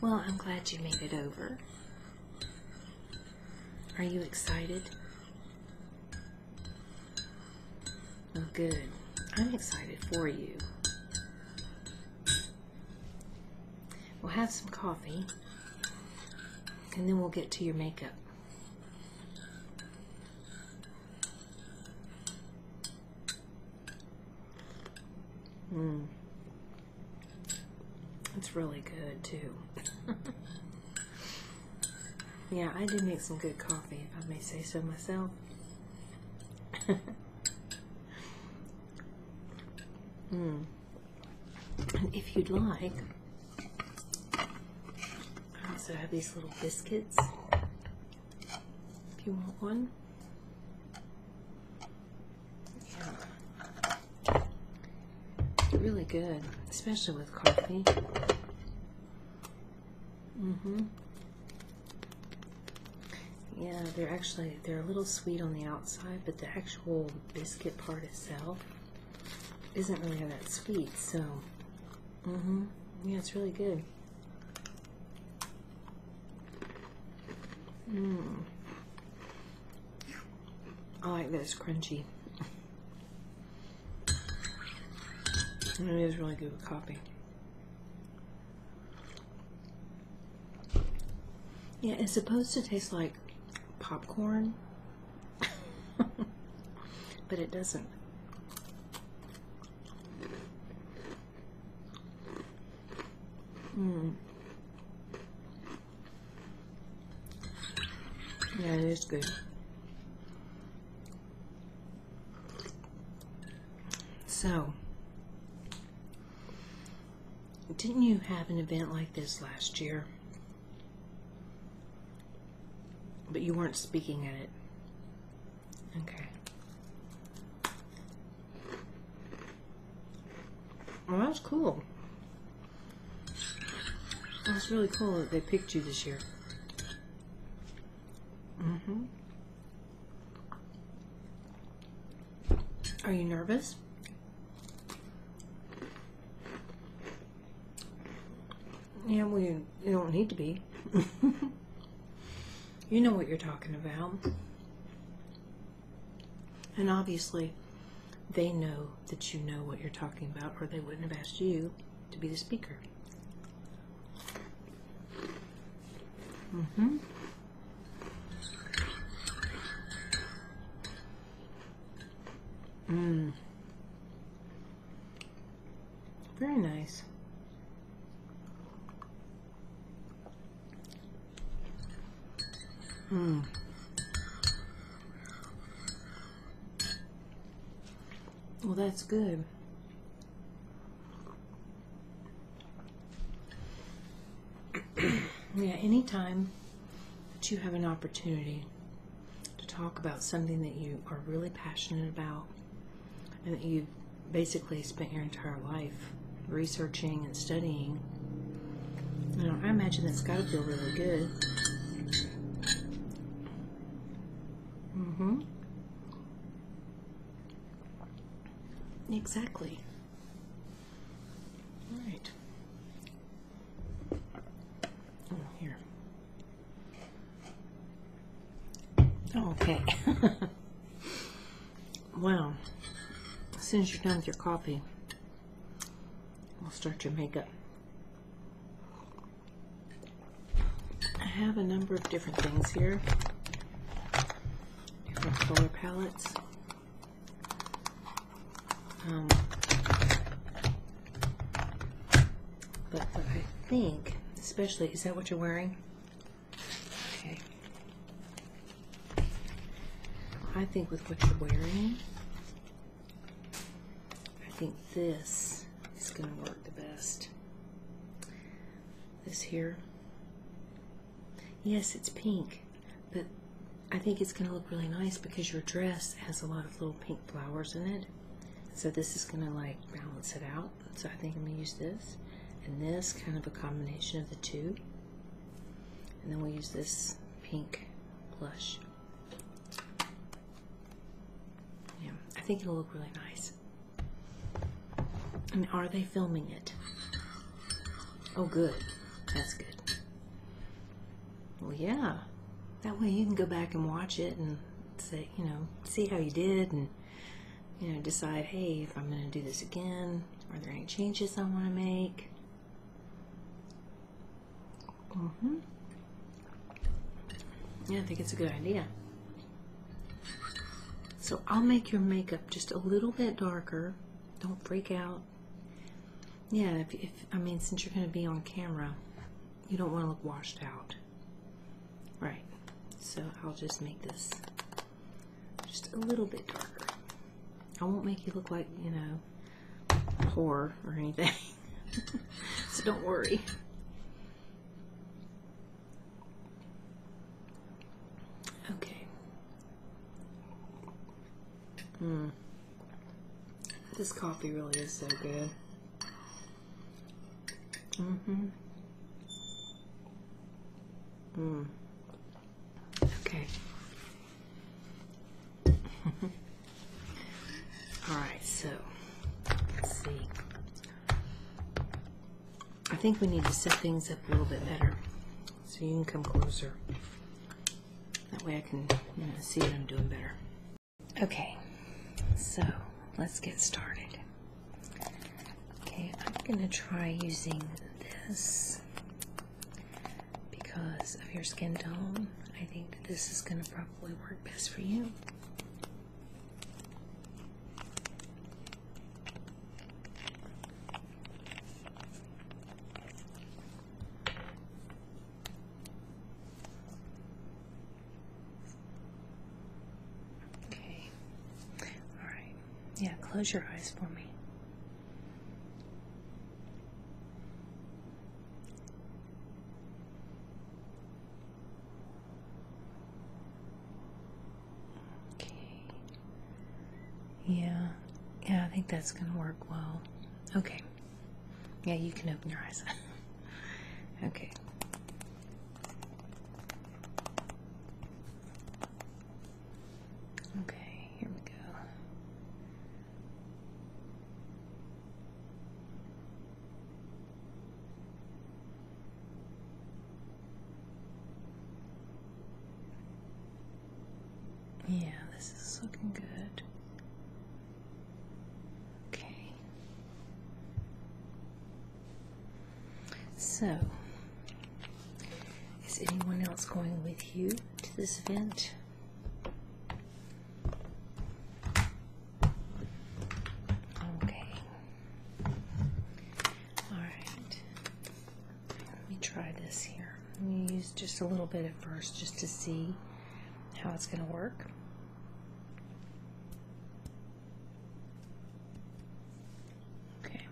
Well, I'm glad you made it over. Are you excited? Oh, good. I'm excited for you. We'll have some coffee and then we'll get to your makeup. Mmm. It's really good too. yeah, I do make some good coffee, if I may say so myself. Mmm. And if you'd like, I also have these little biscuits. If you want one. Yeah. really good, especially with coffee. Mm-hmm. Yeah, they're actually, they're a little sweet on the outside, but the are Whole biscuit part itself isn't really that sweet, so hmm Yeah, it's really good. Mmm. I like that it's crunchy. And it is really good with coffee. Yeah, it's supposed to taste like popcorn, but it doesn't. Mm. Yeah, it is good. So, didn't you have an event like this last year? But you weren't speaking at it. Okay. Well, that was cool. That was really cool that they picked you this year. Mm-hmm. Are you nervous? Yeah, well, you, you don't need to be. you know what you're talking about. And obviously, they know that you know what you're talking about, or they wouldn't have asked you to be the speaker. Mm hmm. Mmm. Very nice. Mmm. Well, that's good yeah, anytime that you have an opportunity to talk about something that you are really passionate about and that you've basically spent your entire life researching and studying, you know, I imagine that's got to feel really good. Mm-hmm. Exactly. All right. Oh, here. Oh, okay. Well, As soon as you're done with your coffee, we'll start your makeup. I have a number of different things here, different color palettes. Um, but I think, especially, is that what you're wearing? Okay. I think with what you're wearing, I think this is going to work the best. This here. Yes, it's pink. But I think it's going to look really nice because your dress has a lot of little pink flowers in it. So this is going to like balance it out. So I think I'm going to use this and this, kind of a combination of the two. And then we'll use this pink blush. Yeah, I think it'll look really nice. And are they filming it? Oh, good. That's good. Well, yeah. That way you can go back and watch it and say, you know, see how you did and, you know, decide, hey, if I'm going to do this again, are there any changes I want to make? Mm hmm Yeah, I think it's a good idea. So I'll make your makeup just a little bit darker don't freak out. Yeah, if, I mean, since you're going to be on camera, you don't want to look washed out. Right, so I'll just make this just a little bit darker. I won't make you look like, you know, poor or anything. so don't worry. Okay, Hmm. This coffee really is so good. Mm-hmm. Mm. Okay. All right, so let's see. I think we need to set things up a little bit better so you can come closer. That way I can see what I'm doing better. Okay, so let's get started. Okay, I'm going to try using this because of your skin tone. I think this is going to probably work best for you. Okay. All right. Yeah, close your eyes for me. Okay. Yeah. Yeah, I think that's going to work well. Okay. Yeah, you can open your eyes. okay. Okay, here we go. Yeah, this is looking good. Okay. So, is anyone else going with you to this event? Okay. All right. Let me try this here. Let me use just a little bit at first just to see how it's going to work. Okay.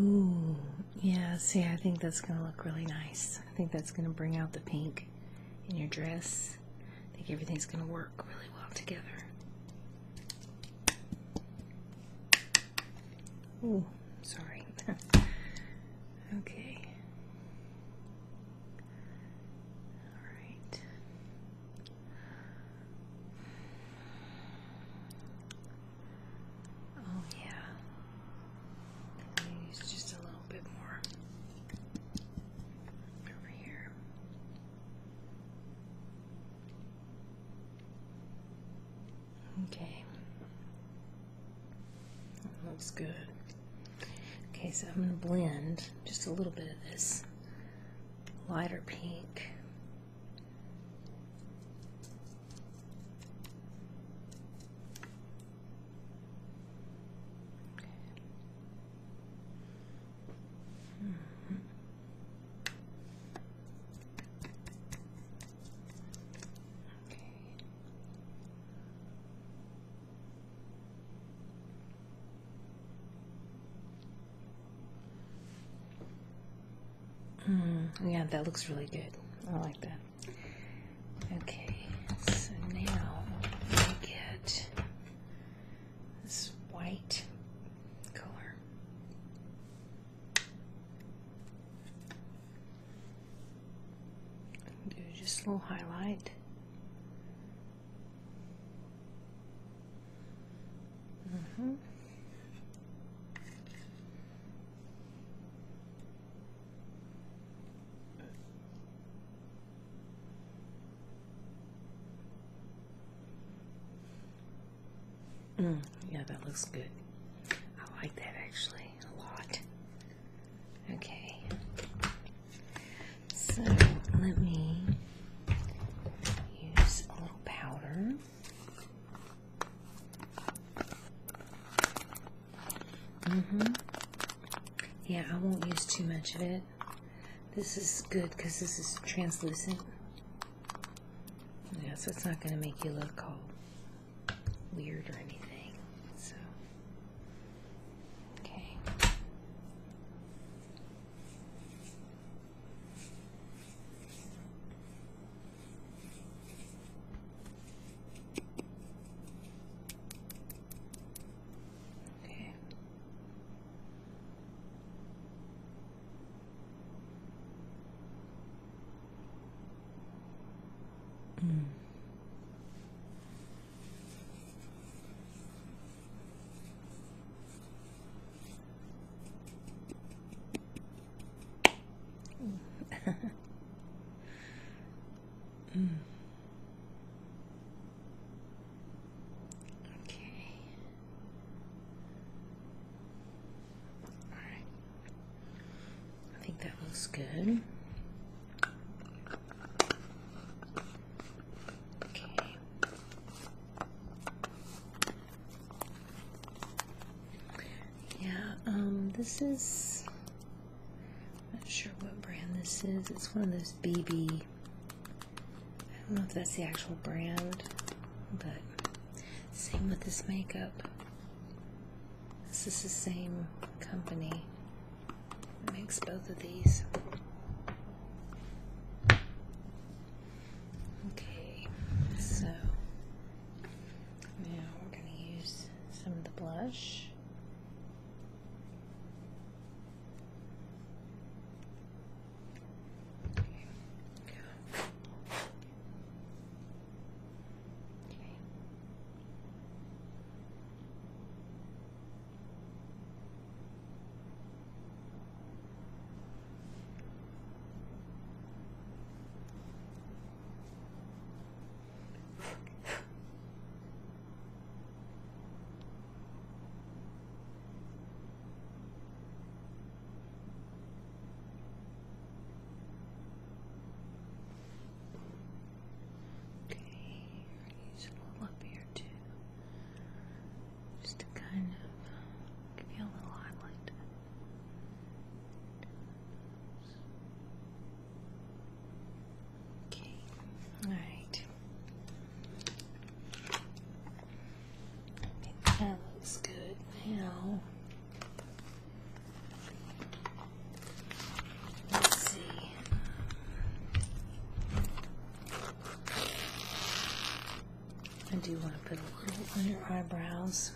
Ooh, yeah, see, I think that's going to look really nice. I think that's going to bring out the pink in your dress. I think everything's going to work really well together. Oh, sorry. okay. Alright. Oh, yeah. Use just a little bit more over here. Okay, looks good. Okay, so I'm going to blend just a little bit of this lighter pink -hmm. yeah, that looks really good. I like that. Okay, so now I get this white color. Do just a little highlight. Mm -hmm. Mm, yeah, that looks good. I like that actually a lot. Okay. So let me use a little powder hmm Yeah, I won't use too much of it. This is good because this is translucent. Yes, it's not going to make you look cold, weird or anything. So, okay. Okay. Mm. Okay. Okay. All right. I think that looks good. Okay. Yeah, um, this is I'm not sure what brand this is. It's one of those BB. I don't know if that's the actual brand, but same with this makeup. This is the same company that makes both of these. Okay, so now we're going to use some of the blush. Okay, use a little up here too, just to kind of give you a little highlight. Okay, all right. That looks good now. Let's see. I do want to put a little on your eyebrows.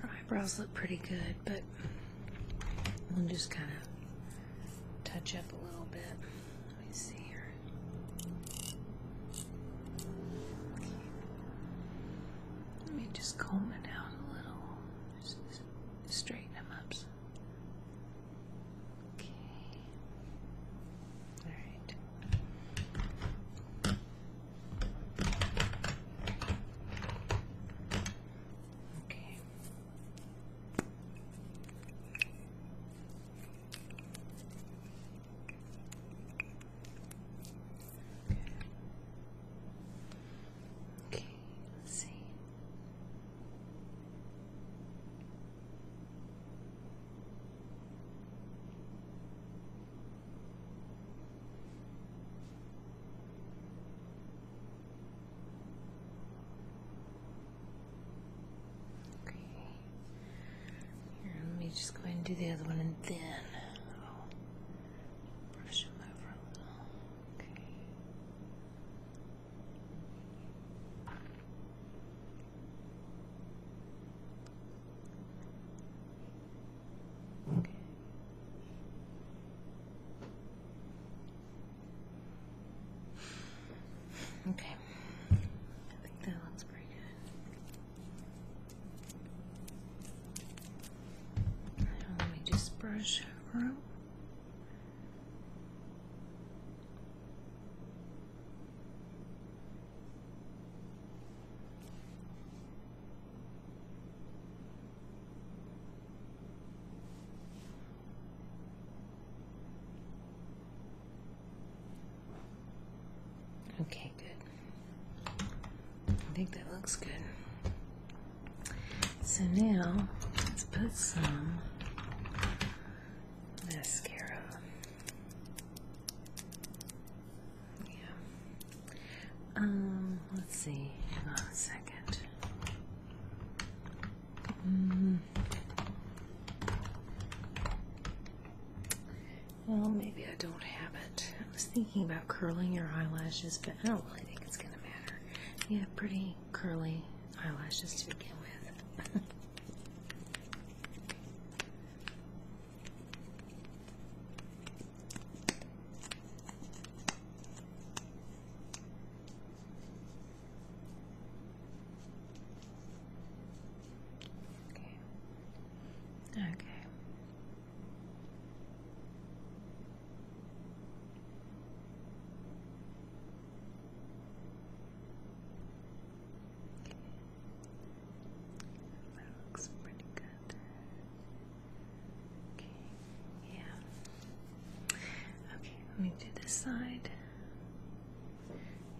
Her eyebrows look pretty good, but we'll just kind of touch up a little bit. Let me see here. Let me just comb it out a little. straighten them up. Okay. All right. Okay. Okay, let's see. Okay. Okay. Here, let me just go ahead and do the other one and then I'll brush them over Okay. Okay. Okay. I think that one's pretty good. let me just brush over. Okay. Okay, good. I think that looks good. So now let's put some mascara yeah. Um, let's see. Hang on a second. Mm-hmm. Well, maybe I don't have it. I was thinking about curling your eyelashes, but I don't really think it's going to matter. You have pretty curly eyelashes to begin with. Okay. Okay. That looks pretty good. Okay, yeah. Okay, let me do this side.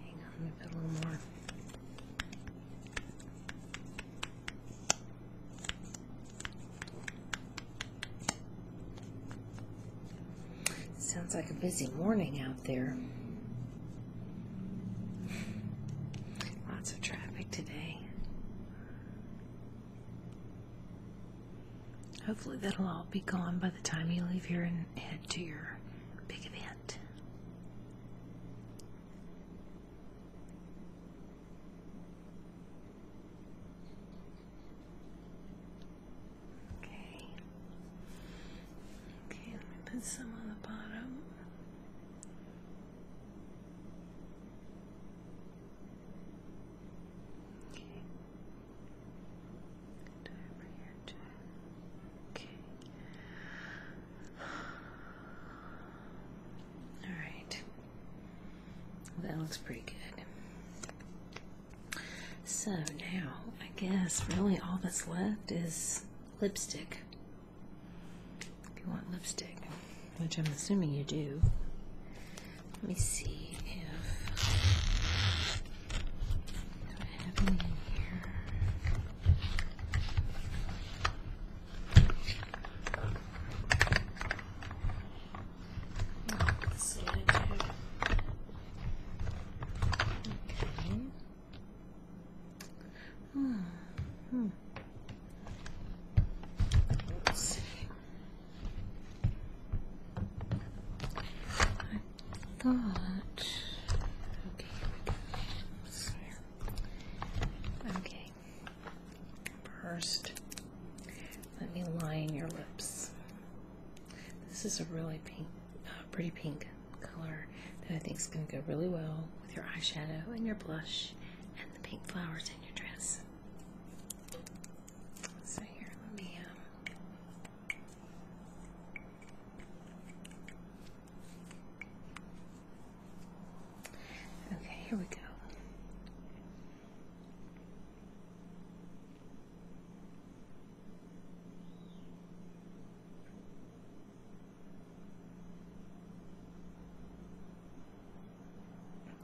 Hang on, a little more. Sounds like a busy morning out there. Lots of traffic today. Hopefully, that'll all be gone by the time you leave here and head to your big event. Okay. Okay, let me put some on the bottom. And over your Okay. All right. that looks pretty good. So now, I guess really all that's left is lipstick. If you want lipstick, which I'm assuming you do. Let me see if do have any in here. Let's see Okay. Hmm. Let's see. I thought. Okay, Okay. First, let me line your lips. This is a really pink, uh, pretty pink color that I think is going to go really well with your eyeshadow and your blush and the pink flowers in your dress. So here, let me um, Okay, here we go.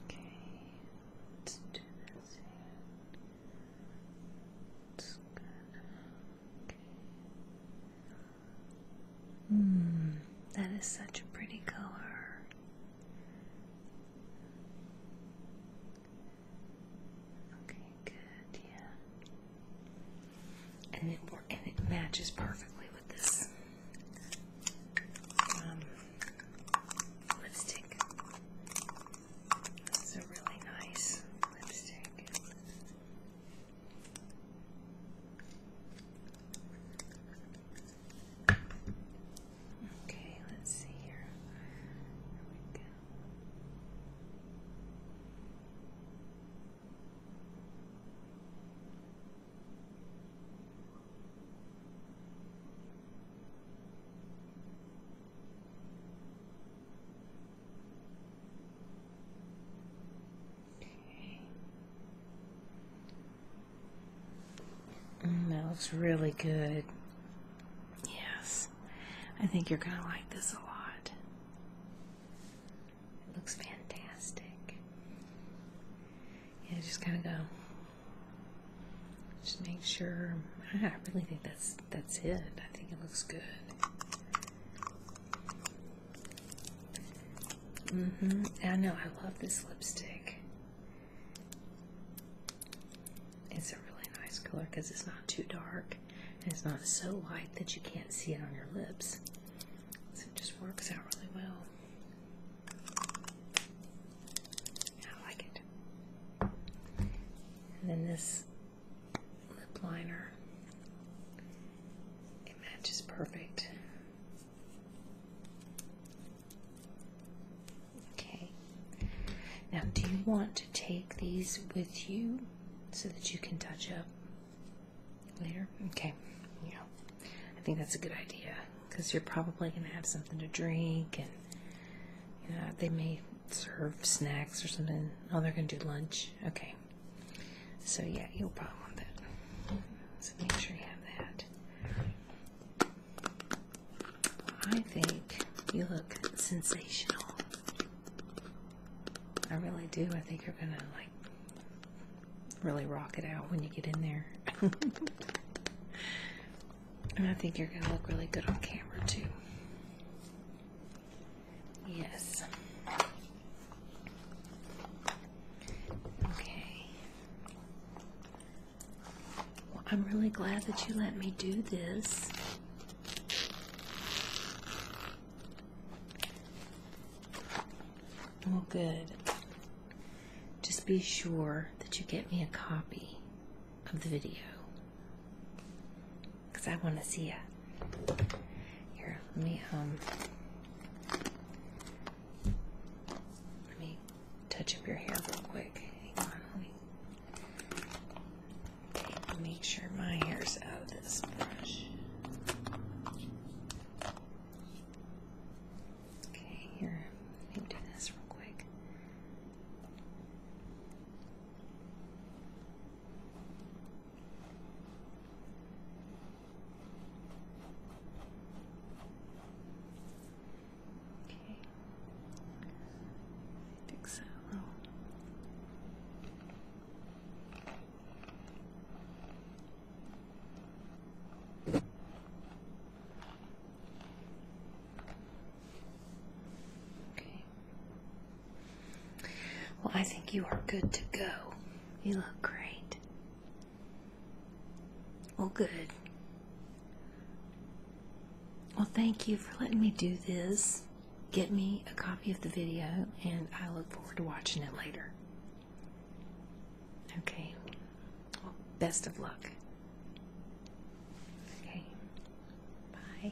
Okay, let's do this here. good. Okay. Hmm, that is such a pretty color. Okay, good, yeah. And it and it matches perfectly with this um, lipstick. This a really nice lipstick. Okay, let's see here. There we go. Mm, that looks really good. Yes, I think you're going to like this a lot. It looks fantastic. Yeah, just kind of go. Just make sure. I really think that's that's it. I think it looks good. Mm-hmm. I know. I love this lipstick. It's a really nice color because it's not too dark and it's not so light that you can't see it on your lips. It just works out really well. I like it. And then this lip liner. It matches perfect. Okay. Now, do you want to take these with you so that you can touch up Later? Okay. Yeah. I think that's a good idea because you're probably going to have something to drink and you know, they may serve snacks or something. Oh, they're going to do lunch. Okay. So, yeah, you'll probably want that. So, make sure you have that. I think you look sensational. I really do. I think you're going to like really rock it out when you get in there. and I think you're going to look really good on camera too. Yes. Okay. I'm really glad that you let me do this. Well, good. Just be sure that you get me a copy of the video. Because I want to see it. Here, let me, um, let me touch up your hair real quick. make sure my hair's out of this brush. Okay, here. Let me do this real quick. Okay. I think so. Well, I think you are good to go. You look great. Well, good. Well, thank you for letting me do this. Get me a copy of the video, and I look forward to watching it later. Okay. Well, best of luck. Okay. Bye.